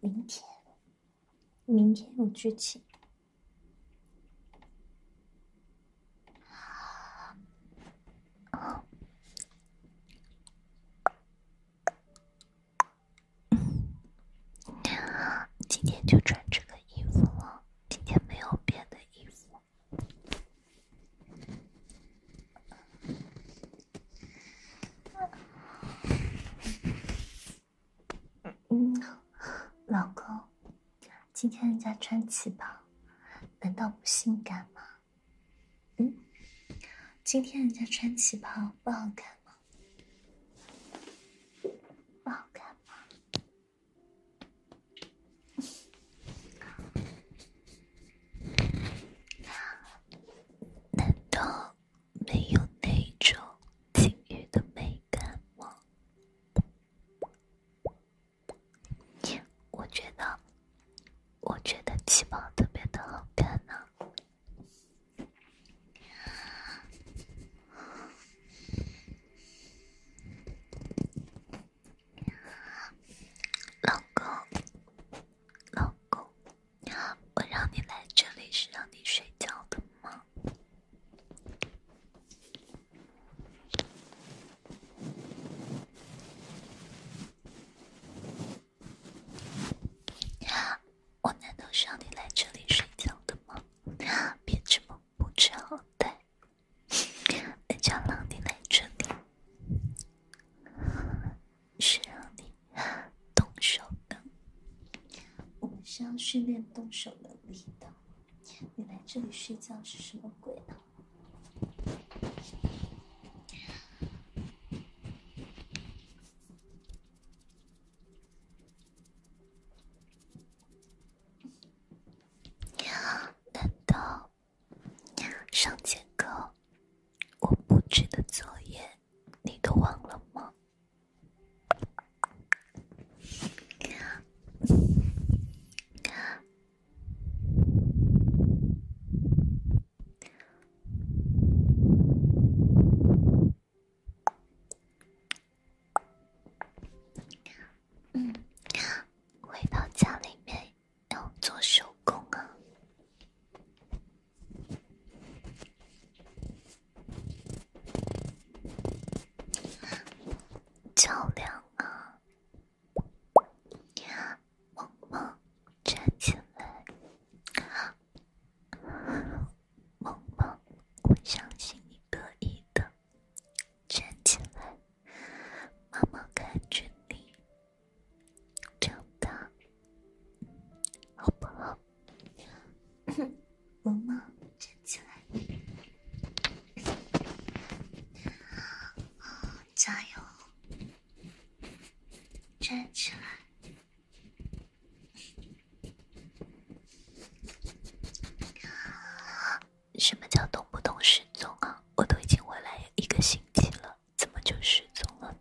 明天，明天我去请。今天就穿这个衣服了。今天没有别的衣服。嗯，老公，今天人家穿旗袍，难道不性感吗？嗯，今天人家穿旗袍不好看吗？不好看吗？难道没有那种金鱼的美感吗？我觉得，我觉得七宝特别的好看呢。老公，老公，我让你来这里是让你睡觉的吗？我难道是让你来这里睡觉的吗？别这么。不知好歹，人家让你来这里，是让你动手的。我们是要训练动手能力的。你来这里睡觉是什么鬼呢？难道上节课我布置的作业你都忘了吗？嗯，回到家里面要做手工啊，照亮啊，萌萌站起来，萌萌，我相信你可以的。站起来，妈妈看着你长大，好不好？萌萌，站起来，啊，加油！站起来。什么叫动不动失踪啊？我都已经回来一个星期了，怎么就失踪了？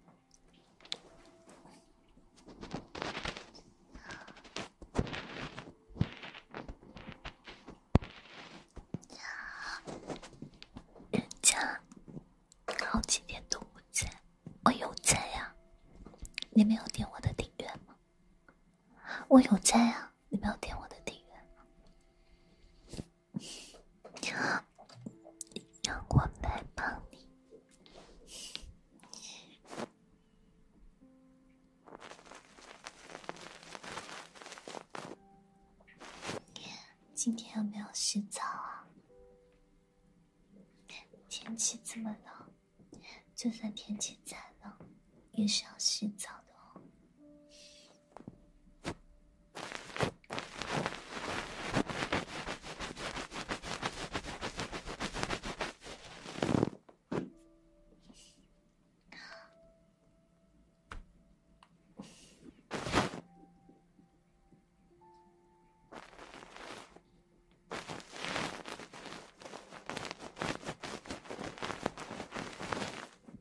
人家好几天都不在，我有在呀。你没有点我的订阅吗？我有在啊，你没有点我的订阅？让我来帮你。今天有没有洗澡啊？天气这么冷，就算天气再冷。也是要洗澡的哦。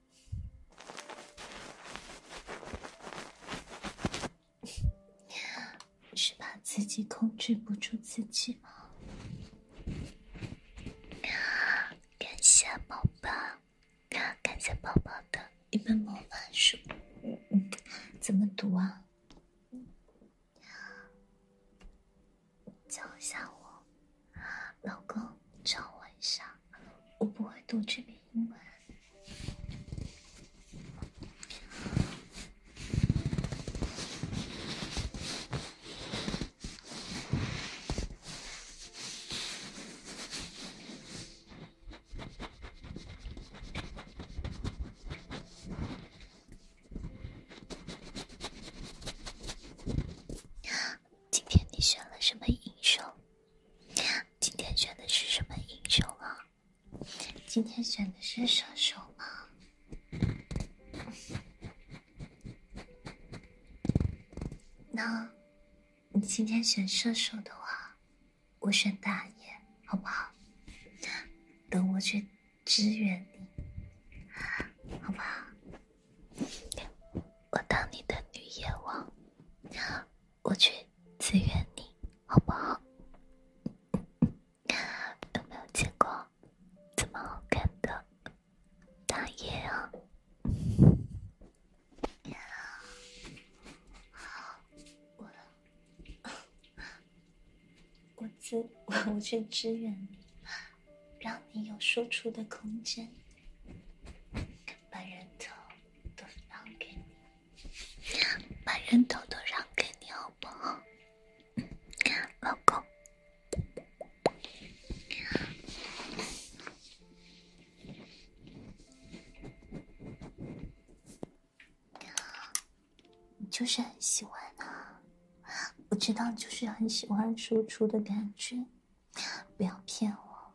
是怕自己控制不住自己吗？感谢宝宝，感谢宝宝的《一本魔法书》，怎么读啊？教一下我，老公教我一下，我不会读这篇。今天你选了什么英雄？今天选的是什么英雄啊？今天选的是射手吗？那，你今天选射手的话，我选打野，好不好？等我去支援你，好不好？我当你的女野王。我去支援你，好不好？有 没有见过这么好看的打野啊？我我支我去支援你，让你有输出的空间，把人头。都让给你，把人头都让给你，好不好，老公？你就是很喜欢啊，我知道你就是很喜欢输出的感觉，不要骗我。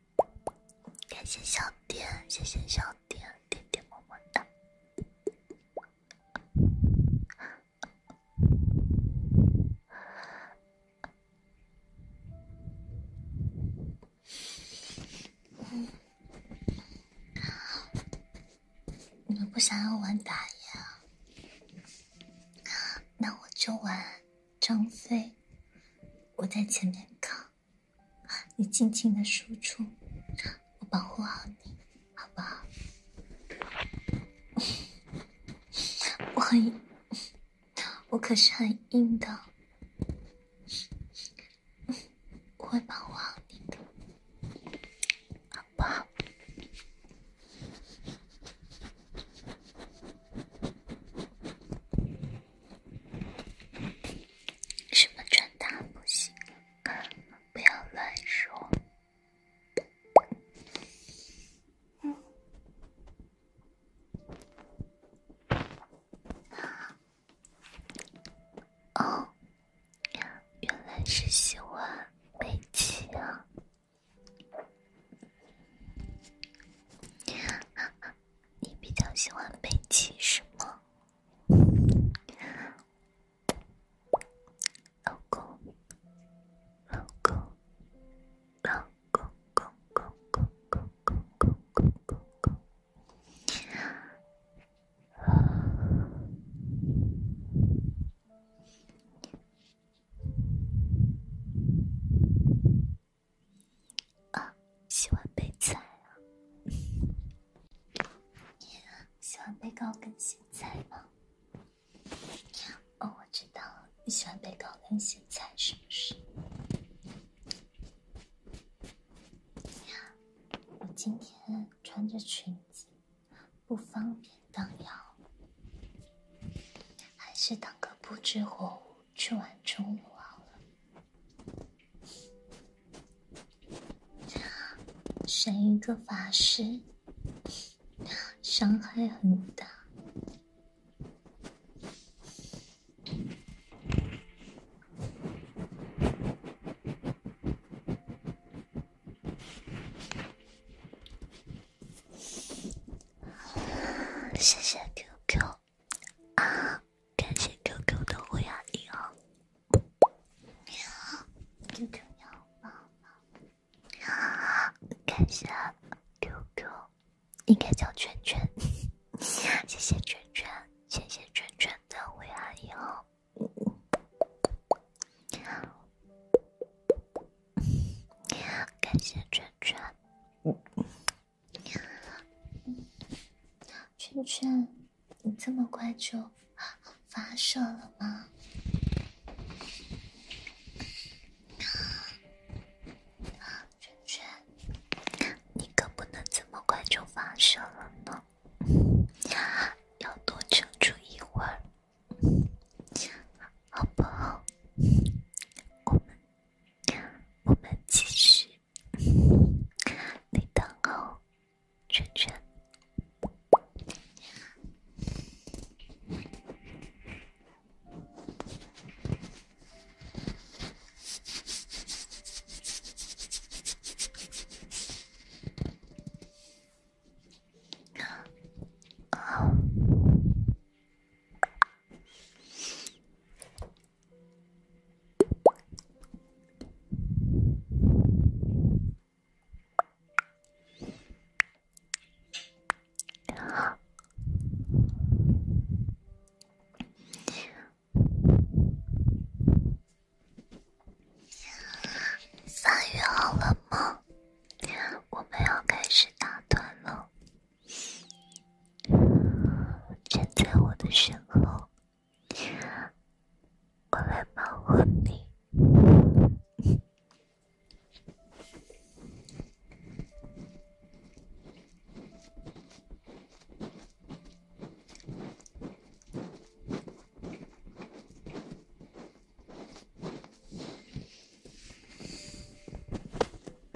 感谢小点，谢谢小点，点点么么哒。你们不想要玩打野，那我就玩张飞，我在前面扛。你尽情的输出，我保护好你，好不好？我很，我可是很硬的，我会保护好你，的，好不好？什么穿搭不行？不要乱说。嗯。哦，原来是喜欢美琪啊。你比较喜欢贝奇，是吗？老公，老公，老公，公公，公公，公公，公公。啊，喜欢被踩啊！喜欢被高跟鞋踩吗？哦，我知道，你喜欢被高跟鞋踩是不是？呀，我今天穿着裙子，不方便荡腰，还是当个不知火舞？去玩中路好了，选一个法师，伤害很大。谢谢 QQ。啊，感谢 QQ 的微啊你好感谢 QQ，应该叫圈圈。谢谢圈圈，谢谢圈圈的微啊你号。感谢圈圈。圈圈，你这么快就发射了吗？圈圈，你可不能这么快就发射了呢，要多撑住一会儿，好不好？我们。我们继续，你等好，圈圈。发育好了吗？我们要开始打团了。站在我的身后，过来保护你。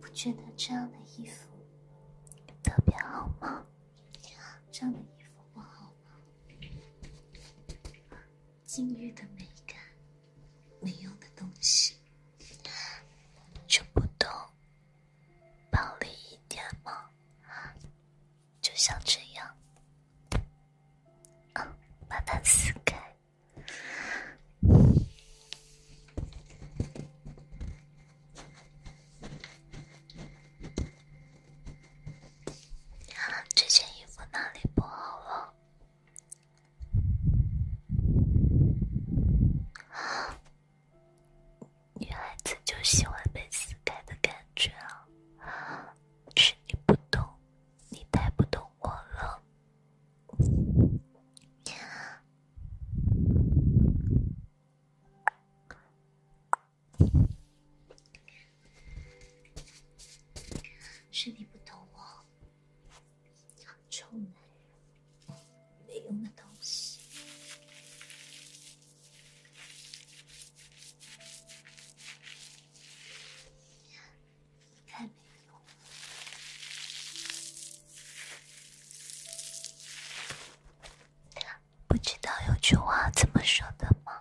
不觉得这样的衣服特别好吗？这样的衣服不好吗？禁欲的美感，没用的东西就不懂，暴力一点吗？就像这样，嗯，把它撕开。这件衣服哪里不好了？女孩子就喜欢被撕开的感觉啊！是你不懂，你太不懂我了。是你不懂我，臭男人，没用的东西。不知道有句话怎么说的吗？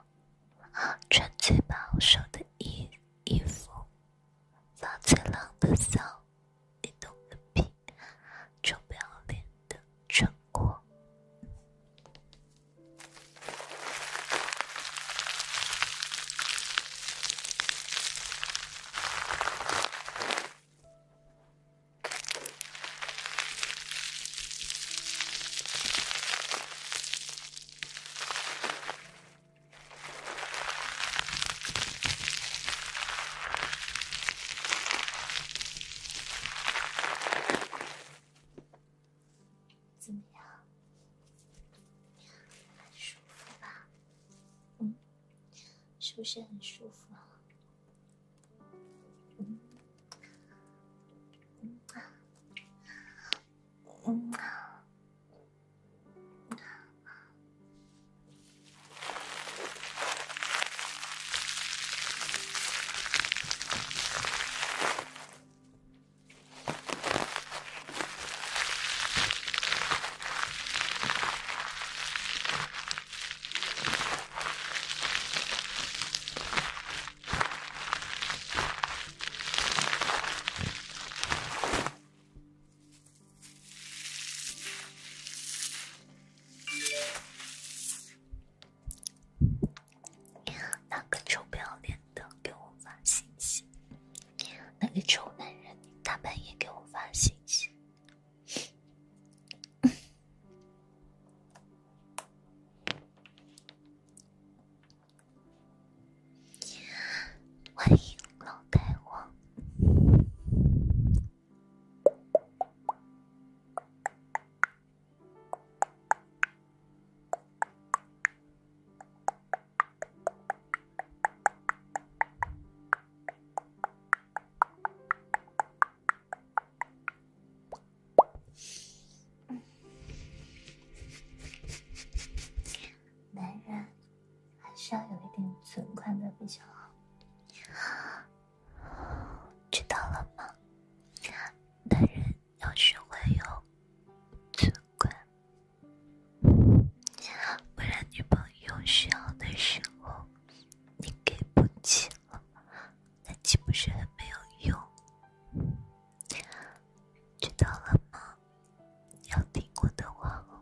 穿最保守的衣衣服，放最冷的骚，你懂个屁！臭不要脸的，穿过。怎么样？很舒服吧？嗯。是不是很舒服啊？那个臭不要脸的给我发信息。那个臭男人大半夜给我发信息，欢迎老太皇。男人还是要有一点存款的比较好，知道了吗？男人要学会有存款。不然女朋友需要的时候，你给不起了，那岂不是很没有用？知道了吗？要听我的话哦。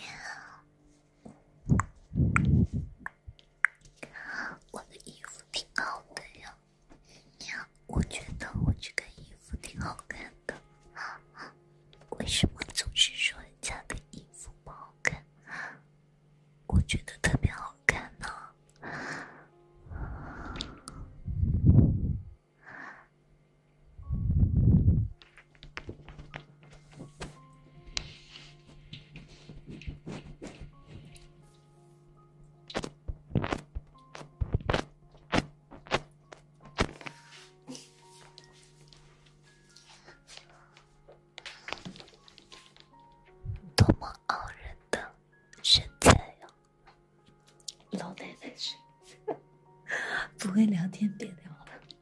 呀，我的衣服挺好的呀，呀，我觉得我这个衣服挺好看的，为什么总是说人家的衣服不好看？我觉得特别好看呢。多么傲人的身材呀，老奶奶是 不会聊天别聊了。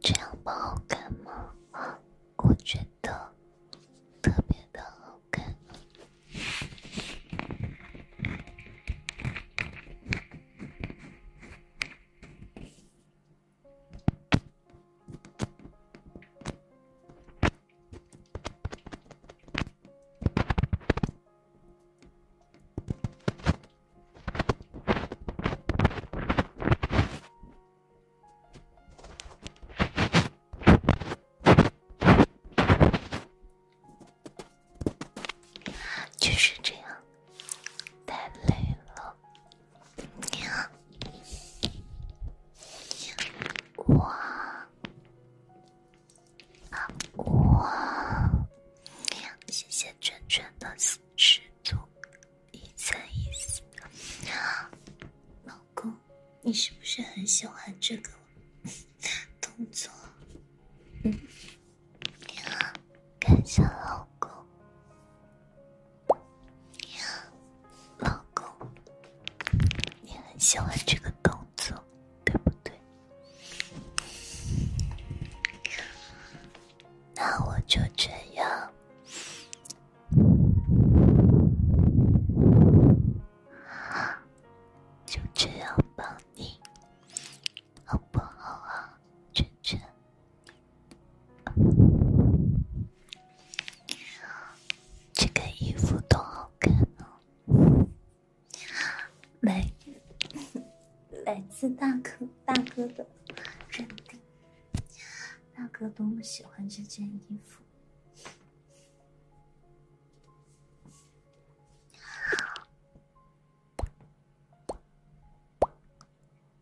这样不好看吗？我觉得特别的好看。就是这样，太累了。你好，哇！哇！谢谢圈圈的十足一三一四，老公，你是不是很喜欢这个动作？嗯，你好。一下老公老公，你很喜欢这个动作，对不对？那我就这样，就这样抱你，好不好啊，晨圈？这个衣服多好看哦！来，来自大哥大哥的认定，大哥多么喜欢这件衣服。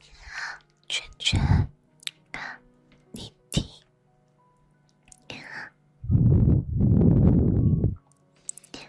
你好，娟娟。啊，你听。啊。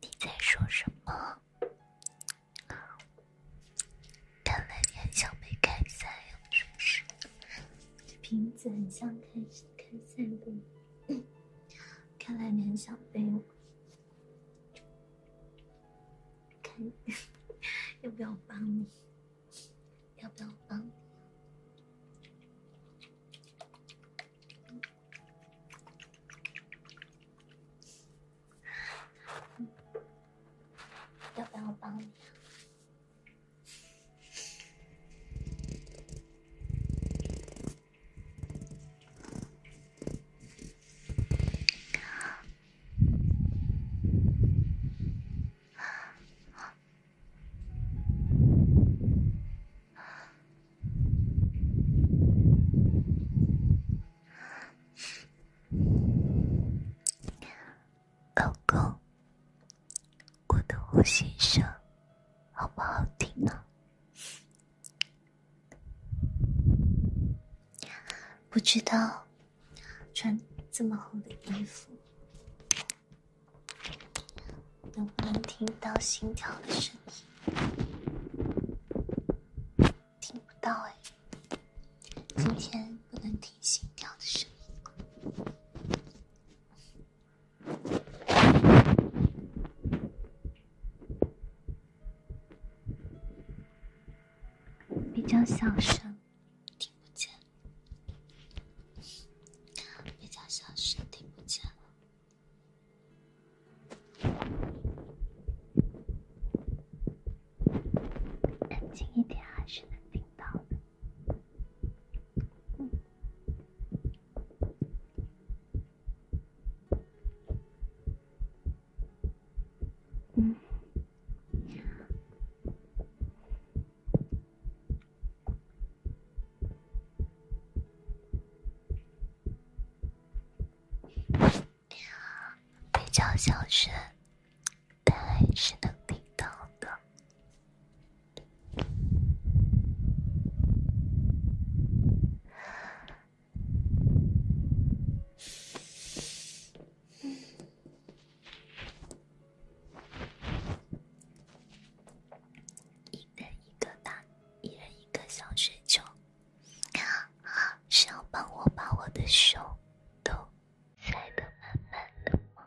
你在说什么？看来你很想被开赛呀，是不是？这瓶子很像开开赛的，看来你很想被我开，要不要我帮你？要不要帮？要不要我帮你？老公，我的呼吸声好不好听呢？不知道穿这么厚的衣服。能不能听到心跳的声音？听不到哎，今天不能听心跳的声音，比较小声，听不见，比较小声，听不见。安静一点，还是能听到的。嗯，嗯。比较小声，但还是能听到的。人一个大，一人一个小水球，是要帮我把我的手都塞的满满的吗？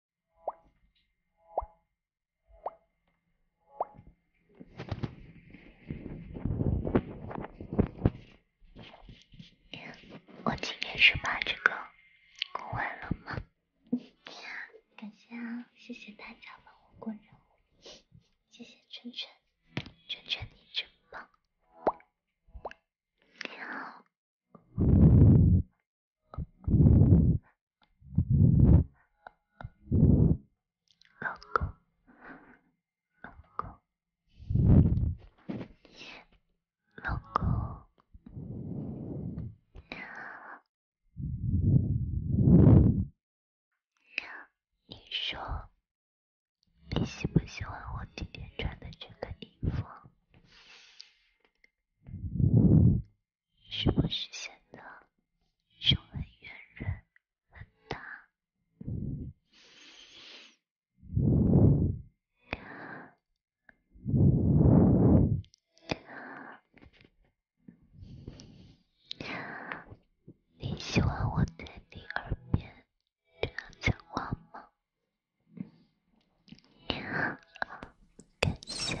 我今天是把这个过完了吗？感谢啊，谢谢大家帮我过任务，谢谢圈圈，圈圈你真棒。你好。老公，老公，老公，你说，你喜不喜欢我今天穿的这个衣服？是不是显得胸很圆润很大？你喜欢我在你耳边这样讲话吗？感谢。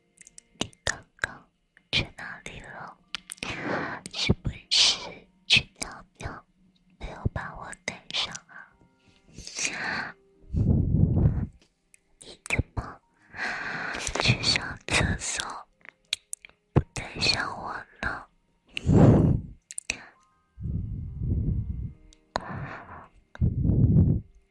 你刚刚去哪里了？是不是去尿尿，没有把我带上啊？你怎么去上厕所不带上我呢？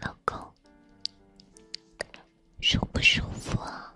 老公，舒不舒服啊？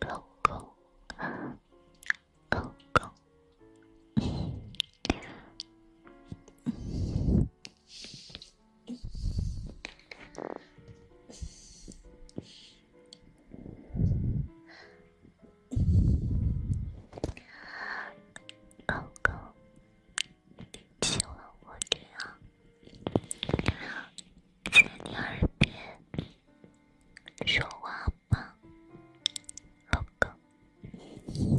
老公，老公，刚刚你亲了我这样。在你耳边说话吧，老公？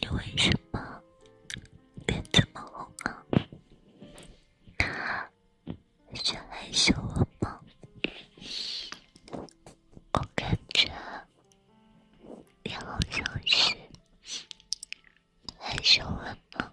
你为什么脸这么红啊？是害羞吗？我感觉你好像是害羞了吗？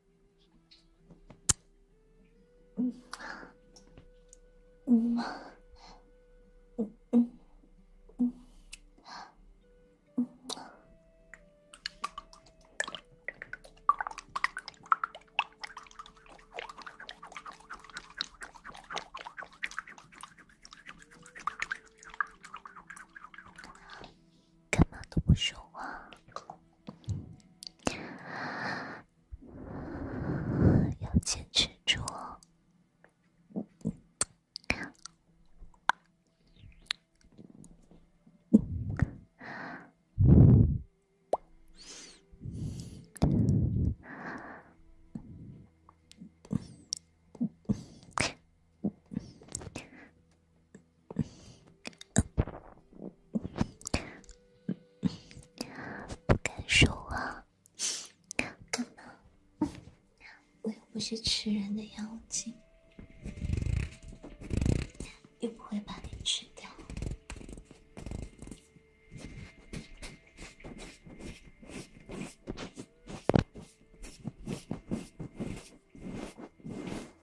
嗯，嗯，嗯，嗯，嗯，嗯，干嘛都不说话？要坚持住哦！不敢说话，干嘛？我又不是吃人的妖精，又不会把你吃掉。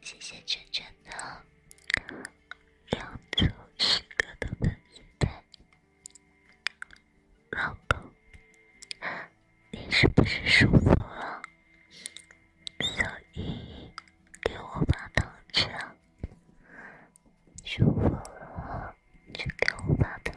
谢谢圈圈的两组格斗的音带，老公，你是不是舒服了？小姨给我发糖吃，舒服了就给我发糖。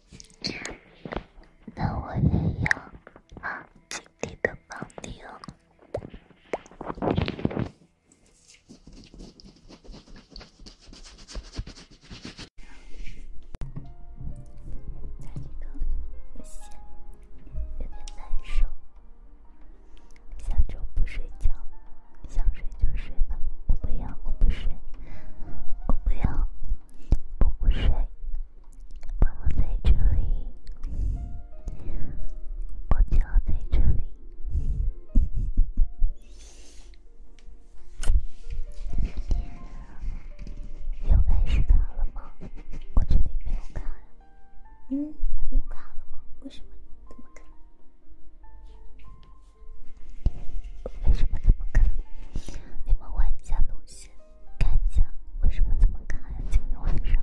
那我也要啊！尽力的帮你哦。在起床，不行，有点难受。下周不睡觉，想睡就睡吧。我不要，我不睡，我不要。不补水，宝宝在这里，宝宝在这里，又开始卡了吗？我这里没有卡呀，嗯，又卡了吗？为什么？怎么卡？为什么怎么卡？你们换一下路线。看一下为什么这么卡呀？今天晚上。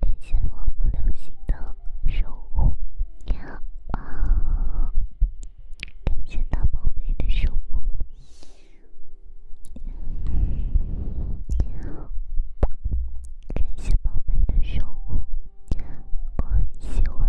感谢我不留心的守护，你好啊！感谢大宝贝的守护，你好，感谢宝贝的守护，我很喜欢。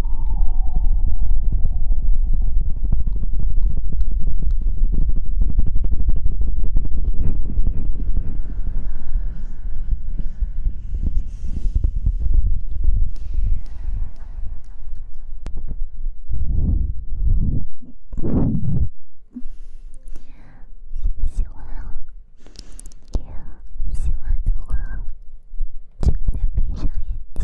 喜不喜欢啊？喜欢的话，能不能闭上眼睛？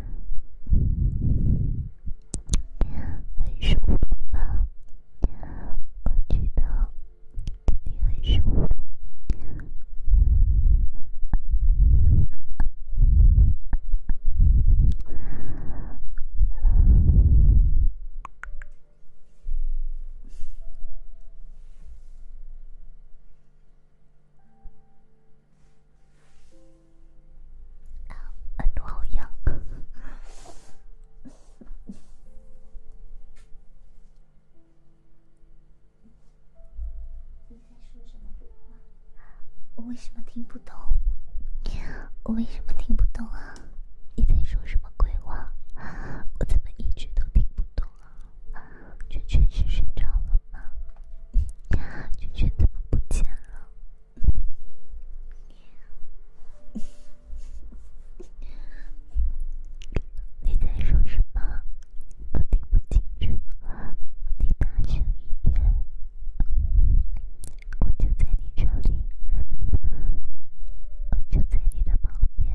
呀，很舒服吧？呀，感觉到肯定很舒服。啊，为什么听不懂？我为什么听不懂啊？你在说什么鬼话？我怎么一直都听不懂啊？却全是睡着了。啊，君君怎么不见了？你在说什么？我听不清，你大声一点。我就在你这里，我就在你的旁边。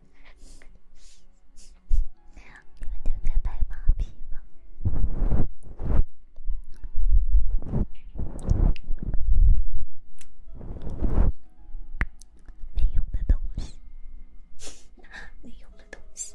你们都在拍马屁吗？没用的东西，没用的东西。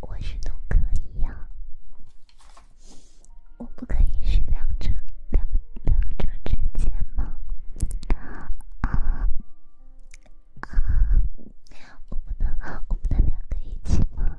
我是都可以呀，我不可以是两者两两者之间吗？啊啊，我们能我们能两个一起吗？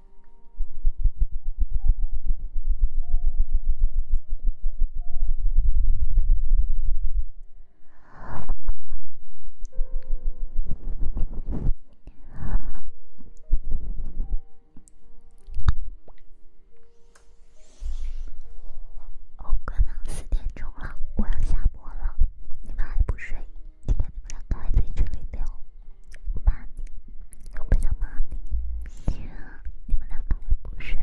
欧哥呢？四点钟了，我要下播了。你们还不睡？你们两个还在群里聊？骂你？我不想骂你。行，你们两个也不睡，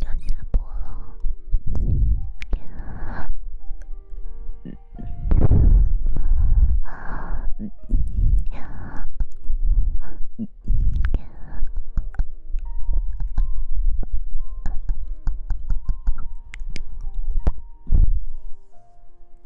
要下播了。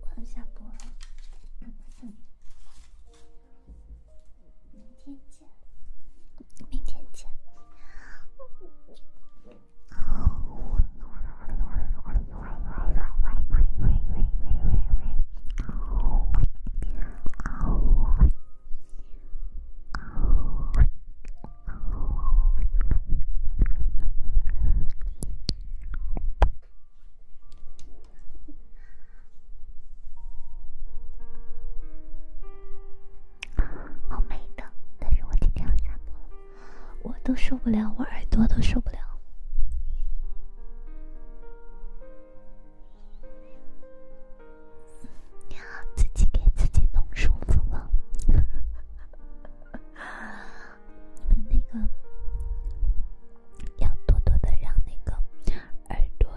我要下播了，明天见，好美，的，但是我今天要下播了，我都受不了，我耳朵都受不了。要自己给自己弄舒服了，你们那个要多多的让那个耳朵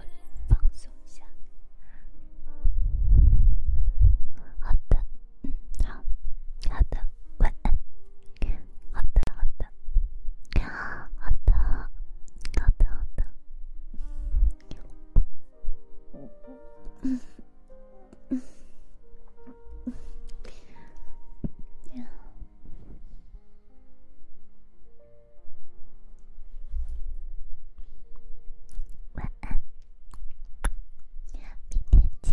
放松一下。好的，嗯，好，好的，晚安。好的，好的，好的，好的，好的。晚安，明天见。